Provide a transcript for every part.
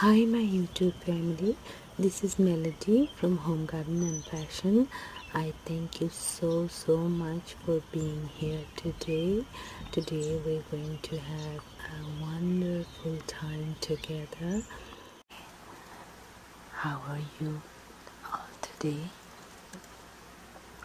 Hi my YouTube family, this is Melody from Home Garden and Fashion. I thank you so so much for being here today. Today we're going to have a wonderful time together. How are you all today?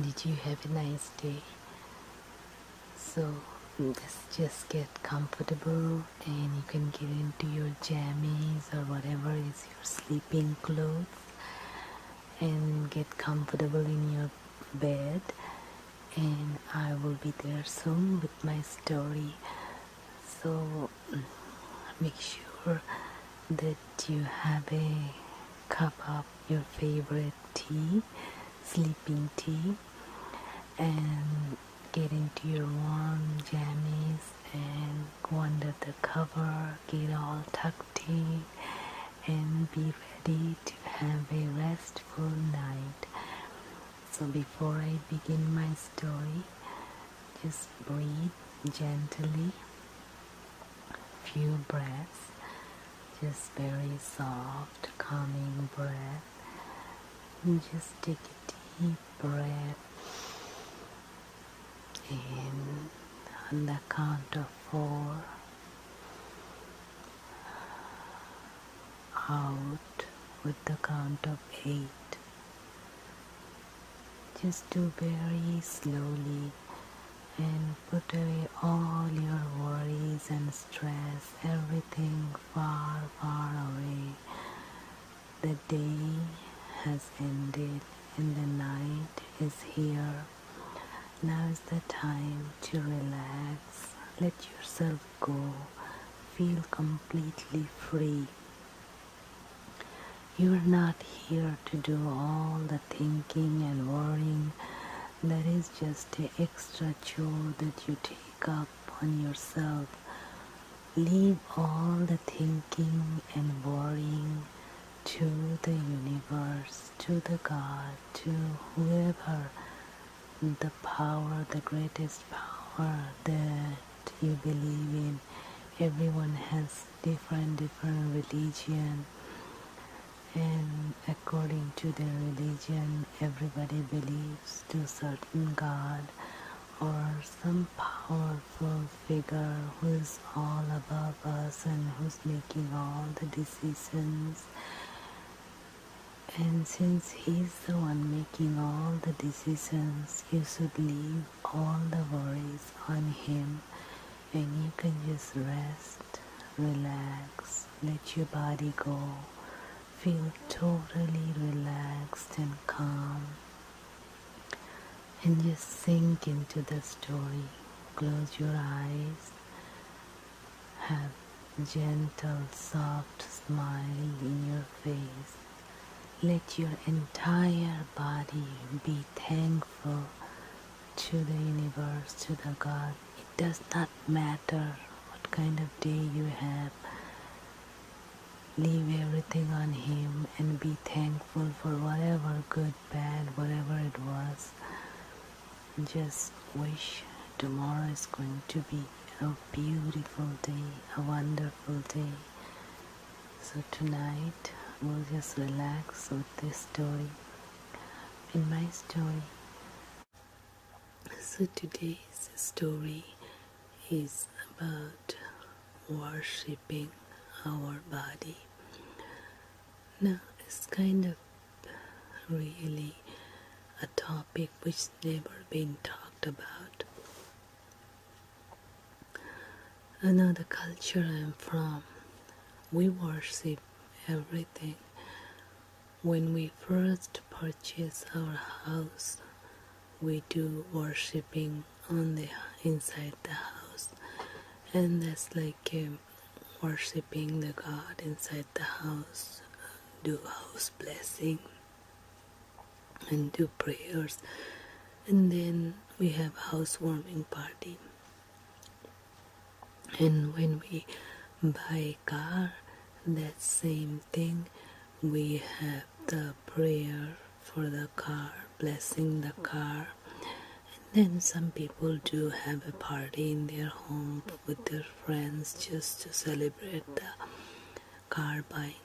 Did you have a nice day? so just just get comfortable and you can get into your jammies or whatever is your sleeping clothes and get comfortable in your bed and I will be there soon with my story so make sure that you have a cup of your favorite tea sleeping tea and get into your warm jammies and go under the cover, get all tucked in and be ready to have a restful night. So before I begin my story, just breathe gently, few breaths, just very soft, calming breath just take a deep breath in on the count of four out with the count of eight just do very slowly and put away all your worries and stress everything far, far away. The day has ended and the night is here. Now is the time to relax. Let yourself go. Feel completely free. You are not here to do all the thinking and worrying that is just an extra chore that you take up on yourself. Leave all the thinking and worrying to the universe, to the God, to whoever the power, the greatest power that you believe in. Everyone has different, different religion and According to their religion, everybody believes to certain god or some powerful figure who is all above us and who's making all the decisions. And since he's the one making all the decisions, you should leave all the worries on him and you can just rest, relax, let your body go feel totally relaxed and calm. And just sink into the story. Close your eyes. Have gentle, soft smile in your face. Let your entire body be thankful to the universe, to the God, it does not matter what kind of day you have leave everything on him and be thankful for whatever good bad whatever it was just wish tomorrow is going to be a beautiful day a wonderful day so tonight we'll just relax with this story in my story so today's story is about worshipping our body. Now it's kind of really a topic which never been talked about. Another culture I'm from, we worship everything when we first purchase our house, we do worshiping on the inside the house, and that's like um, worshiping the God inside the house, do house blessing, and do prayers, and then we have housewarming party. And when we buy car, that same thing we have the prayer for the car, blessing the car. And then some people do have a party in their home with their friends just to celebrate the car buying.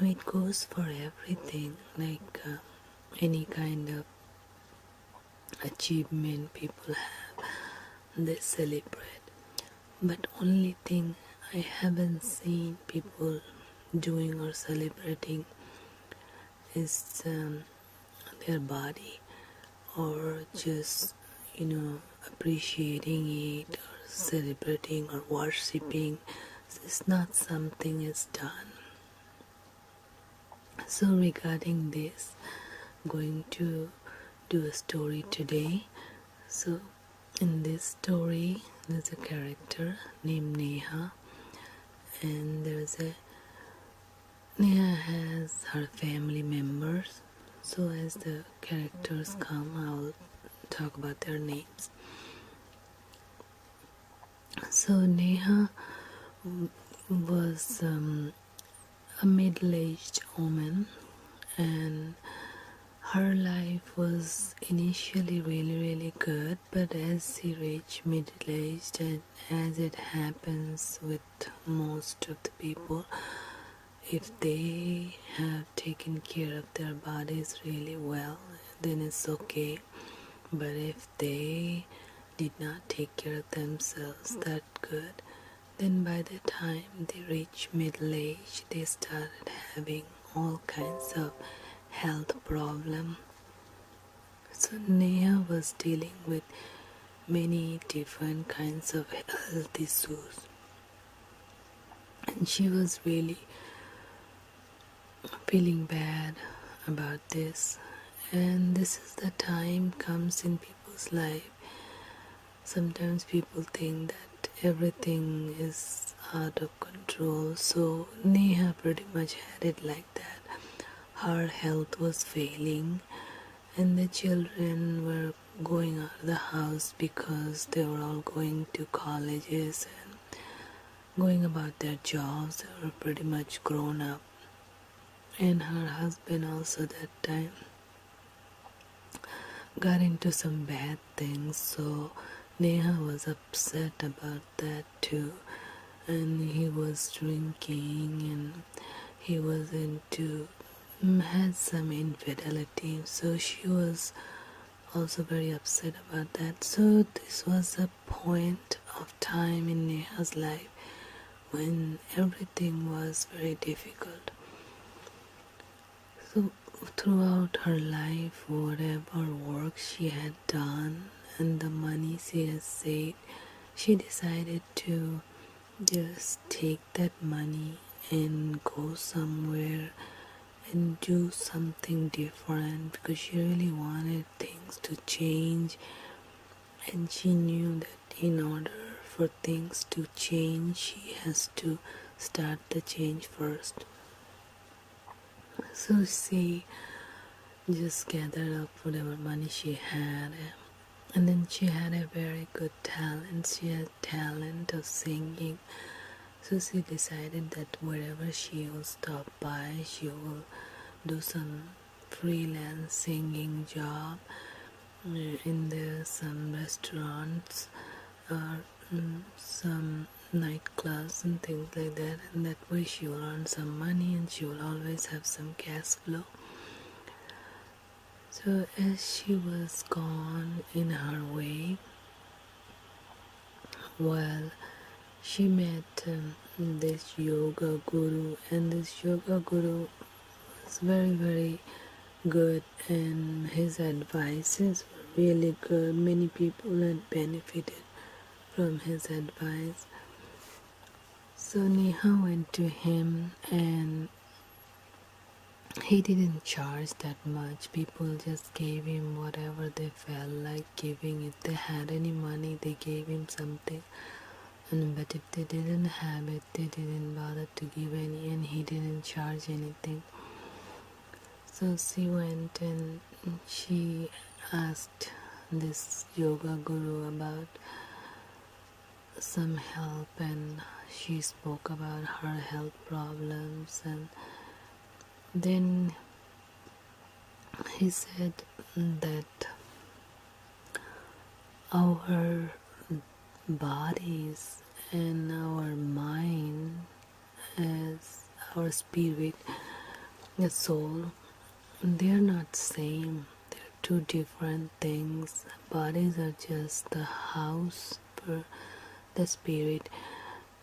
Now it goes for everything, like uh, any kind of achievement people have, they celebrate but only thing I haven't seen people doing or celebrating is um, their body or just you know appreciating it or celebrating or worshipping it's not something is done so regarding this going to do a story today so in this story there's a character named Neha and there's a Neha has her family members so as the characters come I'll talk about their names so Neha was um, a middle-aged woman and her life was initially really really good but as she reached middle age and as it happens with most of the people if they have taken care of their bodies really well then it's okay but if they did not take care of themselves that good then, by the time they reach middle age, they started having all kinds of health problems. So, Neha was dealing with many different kinds of health issues, and she was really feeling bad about this. And this is the time comes in people's life sometimes people think that everything is out of control so neha pretty much had it like that her health was failing and the children were going out of the house because they were all going to colleges and going about their jobs they were pretty much grown up and her husband also that time got into some bad things, so Neha was upset about that too. And he was drinking and he was into mm, had some infidelity, so she was also very upset about that. So, this was a point of time in Neha's life when everything was very difficult. So, throughout her life, whatever work she had done and the money she had saved, she decided to just take that money and go somewhere and do something different because she really wanted things to change and she knew that in order for things to change she has to start the change first so she just gathered up whatever money she had and then she had a very good talent she had talent of singing so she decided that wherever she will stop by she will do some freelance singing job in there some restaurants or mm, some nightclubs and things like that and that way she will earn some money and she will always have some cash flow so as she was gone in her way well she met um, this yoga guru and this yoga guru was very very good and his advices were really good many people had benefited from his advice so Neha went to him and he didn't charge that much people just gave him whatever they felt like giving if they had any money they gave him something and but if they didn't have it they didn't bother to give any and he didn't charge anything so she went and she asked this yoga guru about some help and she spoke about her health problems and then he said that our bodies and our mind as our spirit the soul they're not same they're two different things bodies are just the house for the spirit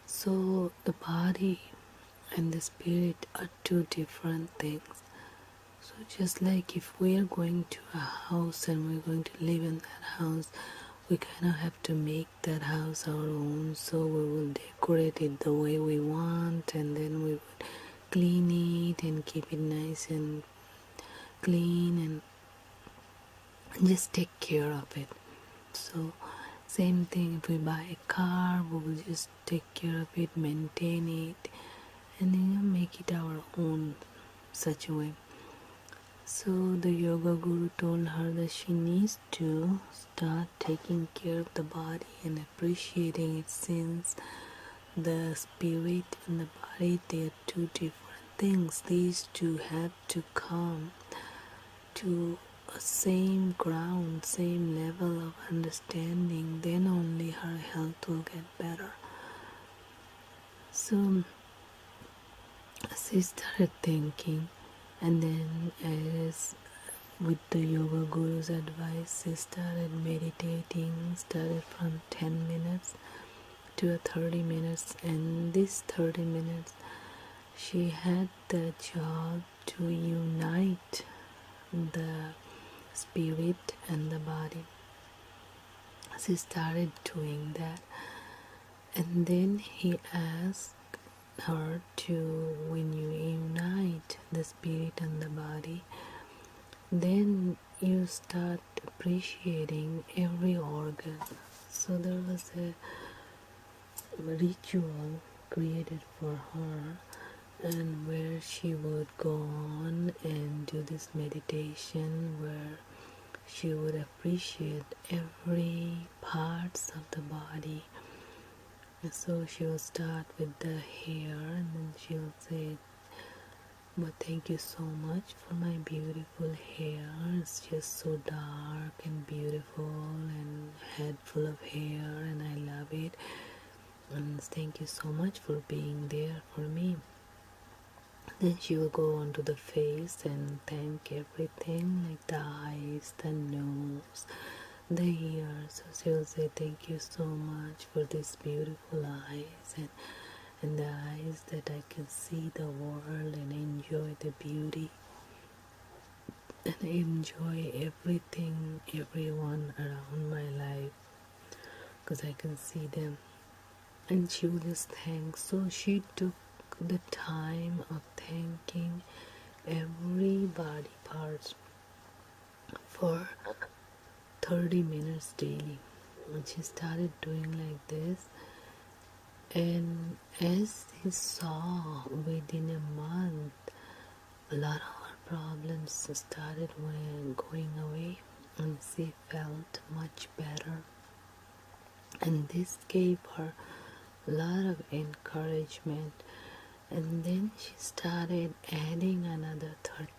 so the body and the spirit are two different things so just like if we are going to a house and we're going to live in that house we kind of have to make that house our own so we will decorate it the way we want and then we would clean it and keep it nice and clean and just take care of it so same thing if we buy a car we will just take care of it maintain it and then make it our own such a way so the yoga guru told her that she needs to start taking care of the body and appreciating it since the spirit and the body they are two different things. These two have to come to a same ground, same level of understanding, then only her health will get better. So she started thinking, and then as with the yoga guru's advice, she started meditating. Started from 10 minutes to 30 minutes, and this 30 minutes, she had the job to unite the spirit and the body. She started doing that and then he asked her to when you unite the spirit and the body then you start appreciating every organ so there was a ritual created for her and where she would go on and do this meditation where she would appreciate every parts of the body so she'll start with the hair and then she'll say but thank you so much for my beautiful hair it's just so dark and beautiful and head full of hair and i love it and thank you so much for being there for me then she will go onto the face and thank everything like the eyes the nose the ears so she will say thank you so much for these beautiful eyes and and the eyes that I can see the world and enjoy the beauty and enjoy everything everyone around my life because I can see them and she was thanked. So she took the time of thanking every body part for 30 minutes daily. And she started doing like this. And as they saw within a month, a lot of her problems started going away and she felt much better and this gave her a lot of encouragement and then she started adding another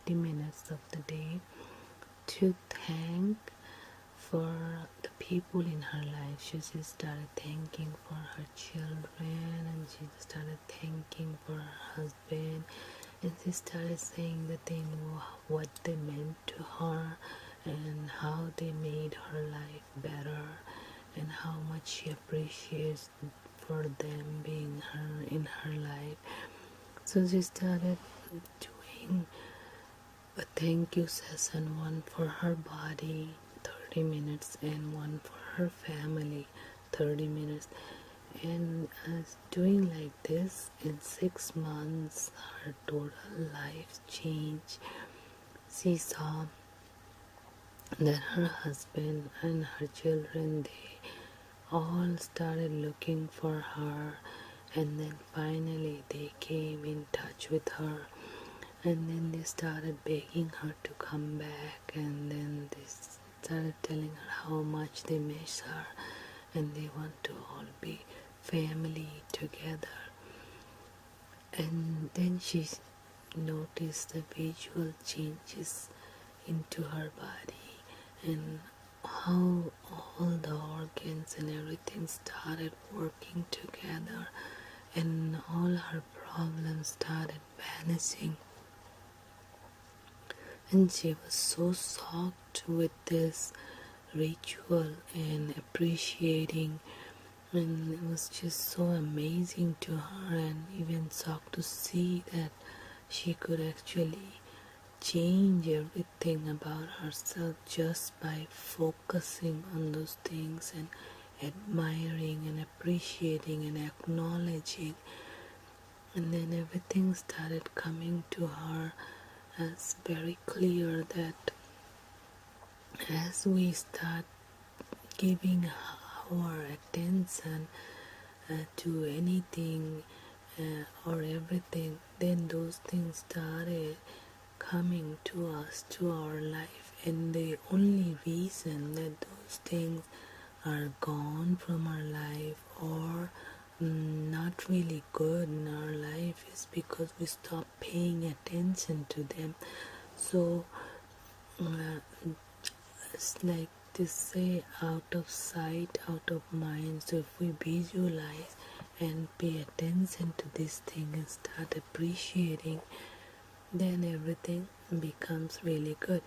30 minutes of the day to thank for the people in her life she just started thanking for her children and she started thanking for her husband and she started saying the thing what they meant to her and how they made her life better and how much she appreciates for them being her in her life so she started doing a thank you session one for her body 30 minutes and one for her family 30 minutes and uh, doing like this in six months her her total life change. She saw that her husband and her children they all started looking for her and then finally they came in touch with her and then they started begging her to come back and then they started telling her how much they miss her and they want to all be family together and then she noticed the visual changes into her body and how all the organs and everything started working together and all her problems started vanishing and she was so shocked with this ritual and appreciating and it was just so amazing to her and even shocked to see that she could actually change everything about herself just by focusing on those things and admiring and appreciating and acknowledging and then everything started coming to her as very clear that as we start giving our attention uh, to anything uh, or everything, then those things started coming to us, to our life. And the only reason that those things are gone from our life or mm, not really good in our life is because we stop paying attention to them so uh, it's like to say out of sight out of mind so if we visualize and pay attention to this thing and start appreciating then everything becomes really good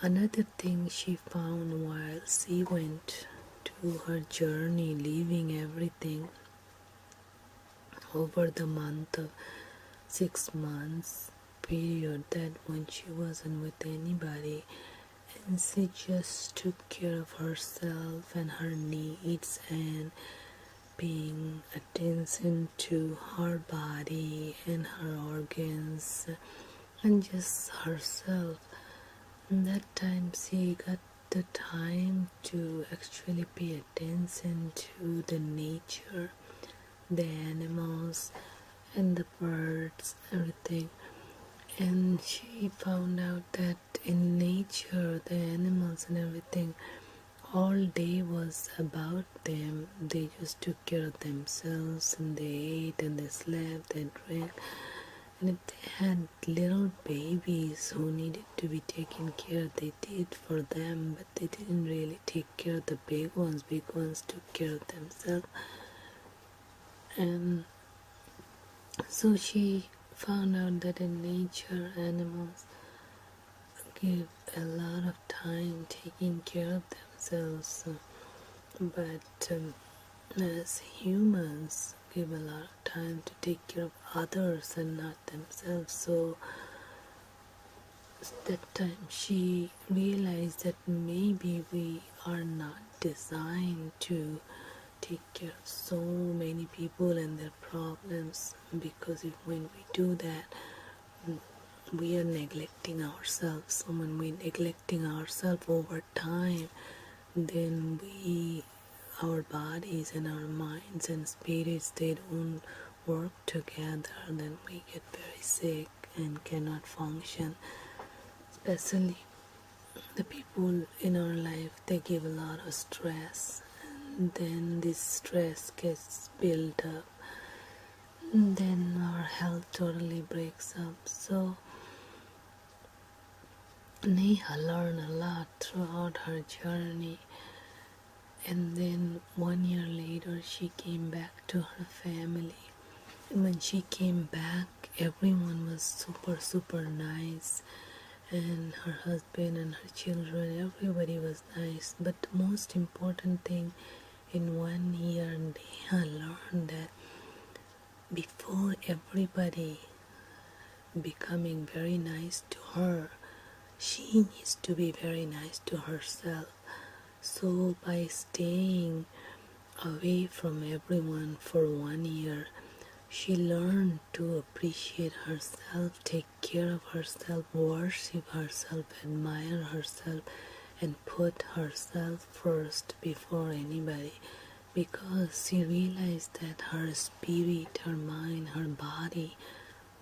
another thing she found while she went to her journey leaving everything over the month of six months period that when she wasn't with anybody and she just took care of herself and her needs and paying attention to her body and her organs and just herself and that time she got the time to actually pay attention to the nature, the animals, and the birds, everything. And she found out that in nature, the animals and everything, all day was about them. They just took care of themselves and they ate and they slept and drank. And if they had little babies who needed to be taken care they did for them but they didn't really take care of the big ones big ones took care of themselves and so she found out that in nature animals give a lot of time taking care of themselves but um, as humans give a lot of time to take care of others and not themselves so that time she realized that maybe we are not designed to take care of so many people and their problems because if when we do that mm, we are neglecting ourselves And when we neglecting ourselves over time then we our bodies and our minds and spirits they don't work together then we get very sick and cannot function especially the people in our life they give a lot of stress and then this stress gets built up and then our health totally breaks up so Neha learned a lot throughout her journey. And then one year later, she came back to her family. And when she came back, everyone was super, super nice. And her husband and her children, everybody was nice. But the most important thing in one year, Neha learned that before everybody becoming very nice to her. She needs to be very nice to herself. So, by staying away from everyone for one year, she learned to appreciate herself, take care of herself, worship herself, admire herself, and put herself first before anybody because she realized that her spirit, her mind, her body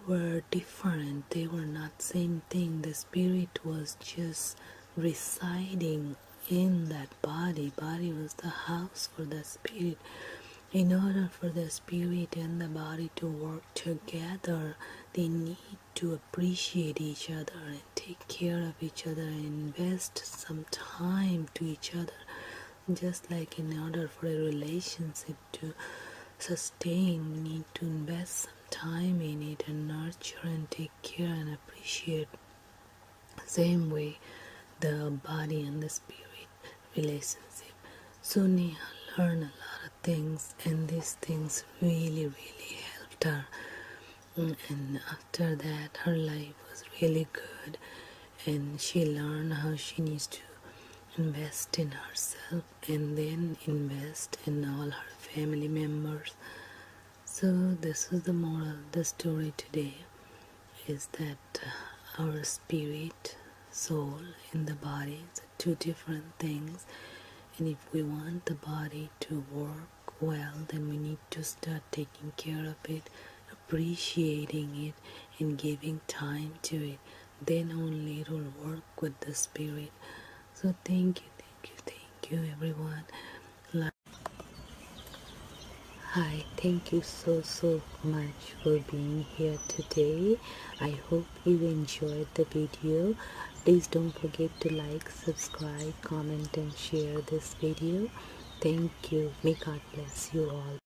were different. They were not same thing. The spirit was just residing in that body. Body was the house for the spirit. In order for the spirit and the body to work together, they need to appreciate each other and take care of each other and invest some time to each other just like in order for a relationship to sustain, we need to invest some time in it and nurture and take care and appreciate. Same way, the body and the spirit relationship. So learned a lot of things, and these things really, really helped her. Mm, and after that, her life was really good and she learned how she needs to invest in herself and then invest in all her family members so this is the moral the story today is that uh, our spirit soul and the body are two different things and if we want the body to work well then we need to start taking care of it appreciating it Spirit and giving time to it. Then only it will work with the Spirit. So thank you, thank you, thank you, everyone. Hi, thank you so so much for being here today. I hope you enjoyed the video. Please don't forget to like, subscribe, comment and share this video. Thank you. May God bless you all.